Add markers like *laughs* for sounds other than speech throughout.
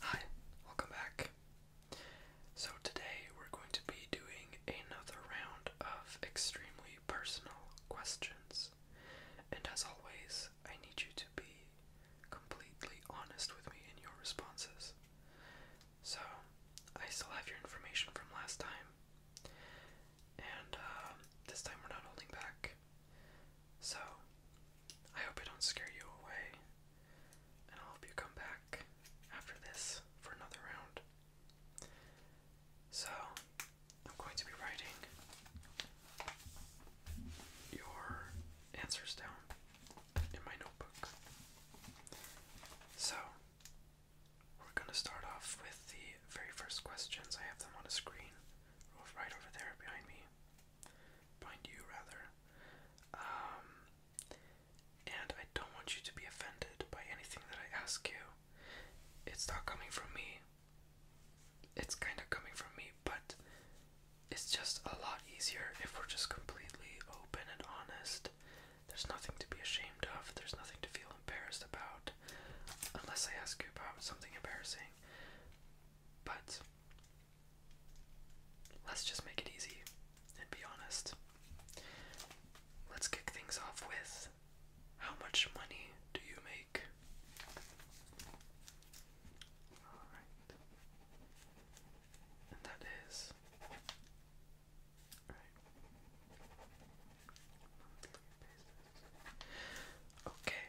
Hi, welcome back. So, today we're going to be doing another round of extremely personal questions. And as always, I need you to be completely honest with me in your responses. So, I still have your information from last time. And uh, this time we're not holding back. So, I hope I don't scare you away, and i hope you come back after this for another round. So, I'm going to be writing your answers down in my notebook. So, we're going to start off with the very first questions. I have them on a screen right over there behind me. Find you, rather. Um, and I don't want you to be offended by anything that I ask you. It's not coming from me. It's kind of coming from me, but it's just a lot easier if we're just completely open and honest. There's nothing to be ashamed of, there's nothing to feel embarrassed about. Unless I ask you about something embarrassing. But let's just make it easy and be honest. Let's kick things off with how much money do you make? And that is. Okay.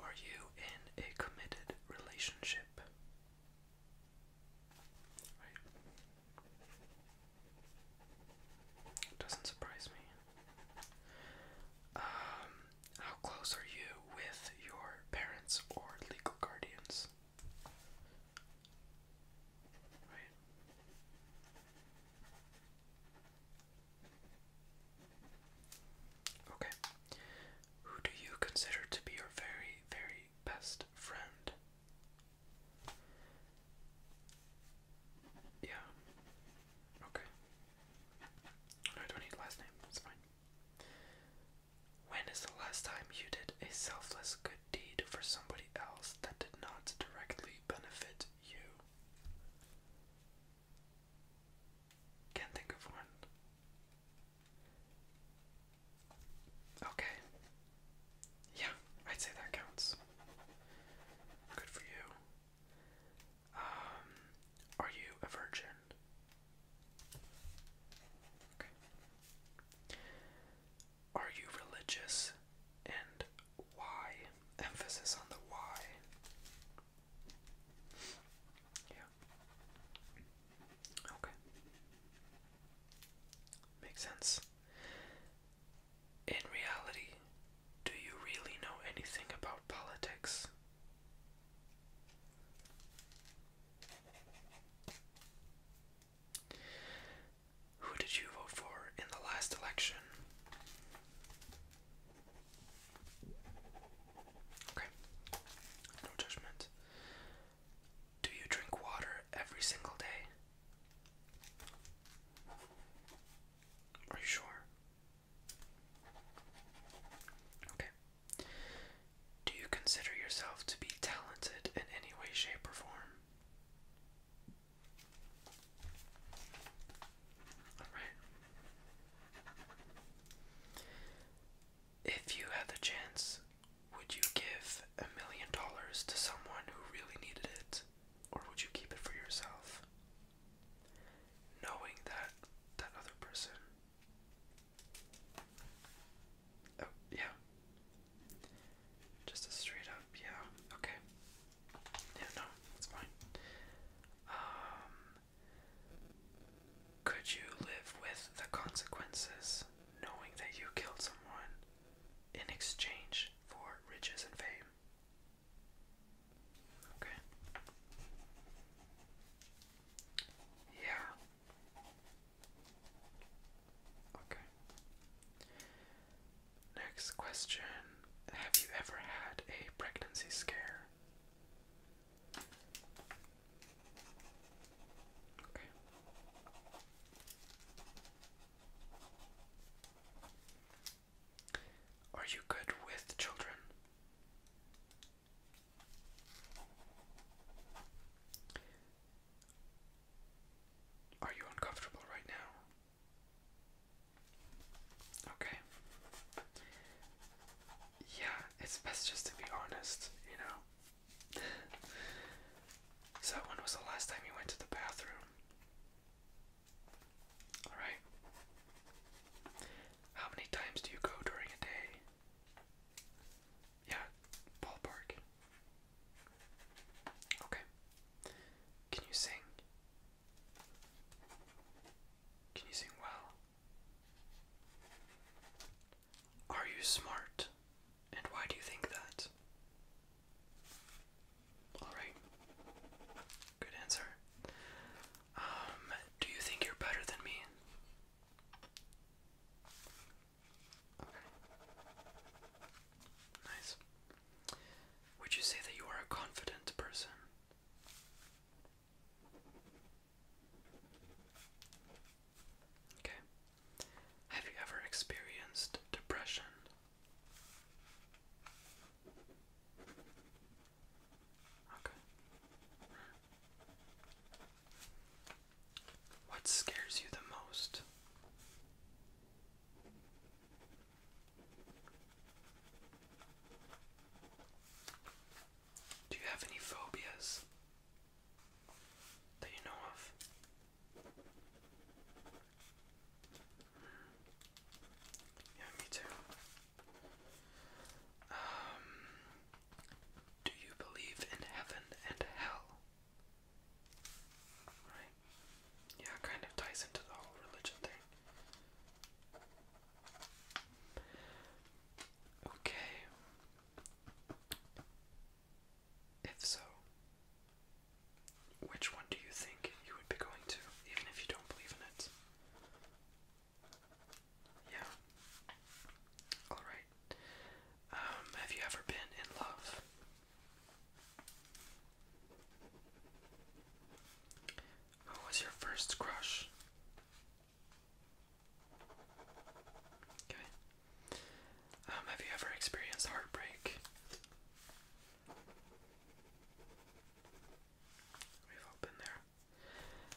Are you in a committed relationship? Doesn't surprise me. Um, how close are you with your parents or legal guardians? Right. Okay. Who do you consider to be your very, very best friend? Yeah. Okay. I don't need last name. It's fine. When is the last time you did a selfless good deed for somebody else that did not directly benefit you. Can't think of one. Okay. Yeah, I'd say that counts. Good for you. Um, are you a virgin? Are you religious? And why? Emphasis on the why. Yeah. Okay. Makes sense. In reality, do you really know anything about politics? Who did you vote for in the last election? Okay, no judgment. Do you drink water every single day? Are you sure? Okay. Do you consider yourself to be talented in any way, shape, or form? If you had the chance, would you give a million dollars to someone who really needed it? Or would you keep it for yourself? Knowing that that other person Oh, yeah. Just a straight up, yeah. Okay. Yeah, no, that's fine. Um, could you live with the consequences knowing that you killed someone in exchange for riches and fame? Okay. Yeah. Okay. Next question Have you ever had a pregnancy scare? Okay. Are you good with children? Are you uncomfortable right now? Okay. Yeah, it's best just to be honest, you know? *laughs* so, when was the last time you went to the bathroom? Alright. How many times do you go during a day? Yeah, ballpark. Okay. Can you sing? Can you sing well? Are you smart? And why do you think that? Alright. Good answer. Um, do you think you're better than me? Nice. Would you say that you are a confident person? Okay. Have you ever experienced depression? Okay. What scares you the most? Do you have any phobias that you know of? Yeah, me too. Um, do you believe in heaven and hell? Right? Yeah, kind of ties into the whole religion thing. Okay. If so, which one do you think you would be going to, even if you don't believe in it? Yeah. Alright. Um, have you ever been in love? Who was your first crush? Okay. Um, have you ever experienced heartbreak? We've all been there.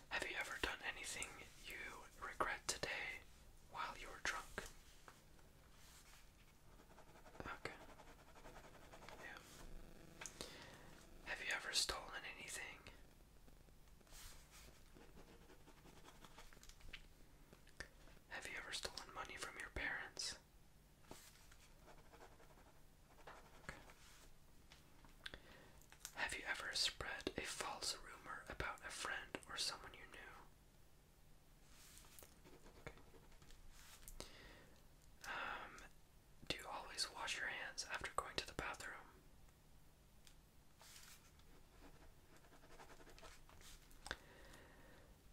Have you ever done anything you regret today while you were drunk? Okay. Yeah. Have you ever stolen anything? Have you ever stolen money from your parents? Have you ever spread a false rumor about a friend or someone you knew? Um, do you always wash your hands after going to the bathroom?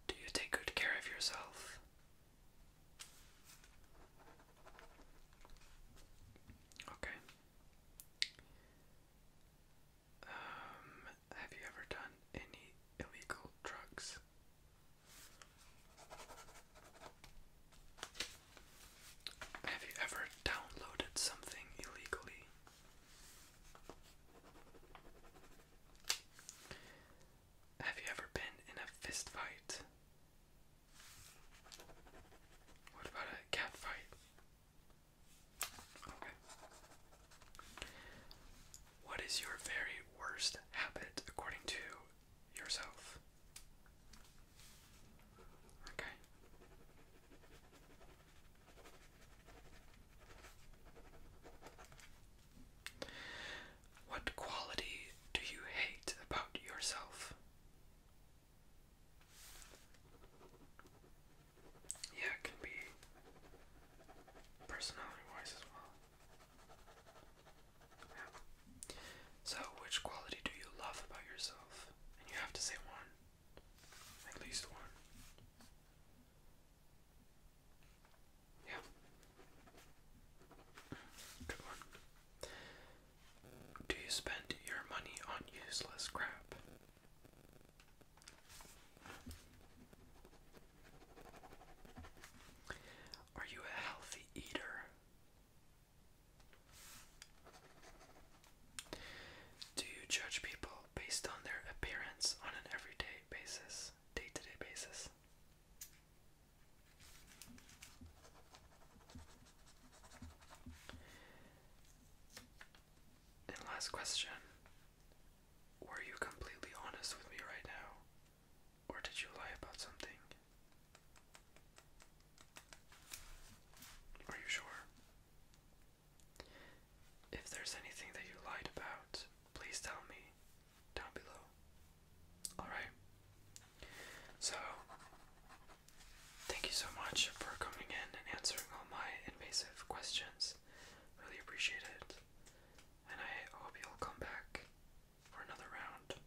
Do you take good care of yourself? Okay. Um, have you ever done any illegal drugs? Have you ever downloaded something illegally? Have you ever been in a fist fight? What about a cat fight? Okay. What is your very worst habit according to yourself? Okay. What quality do you hate about yourself? Yeah, it can be personality wise as well. So, which quality do you love about yourself? And you have to say one. At least one. Yeah. Good one. Do you spend your money on useless crap? Are you a healthy eater? Do you judge people based on their appearance on an everyday basis? day to day basis. And last question Were you completely honest with me right now? Or did you lie about something? Are you sure? If there's anything that you lied about, please tell me down below. Alright? So, thank you so much for coming in and answering all my invasive questions. Really appreciate it. And I hope you'll come back for another round.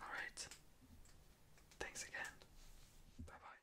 Alright. Thanks again. Bye bye.